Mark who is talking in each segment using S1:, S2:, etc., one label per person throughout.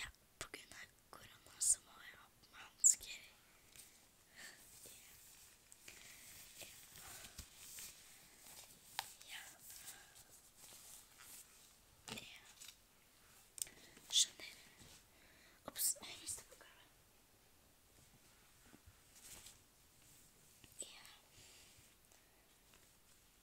S1: Yapıp güne kurumasımı yapmanız gerek diye. Ya. Ne? Şöyle. Ups, I used the girl. Yeah.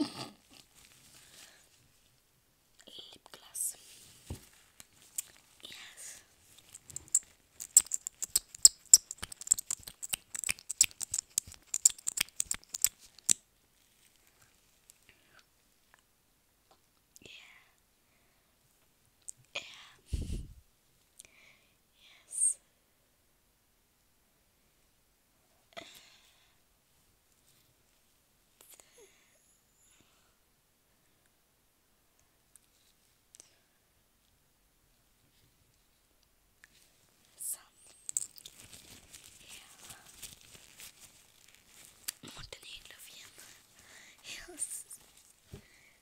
S1: lip gloss. Yes. Yeah. Yeah. Yes. yeah. Morten Hillof Yes.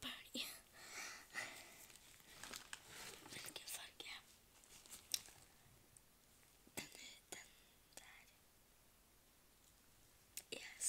S1: party Vilken färg är den? Är den där. Yes. Yes.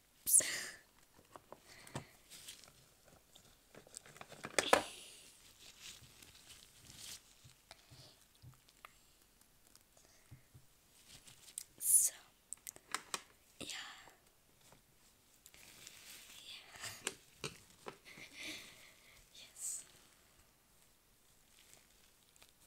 S1: Oops. So, yeah, yeah, yes.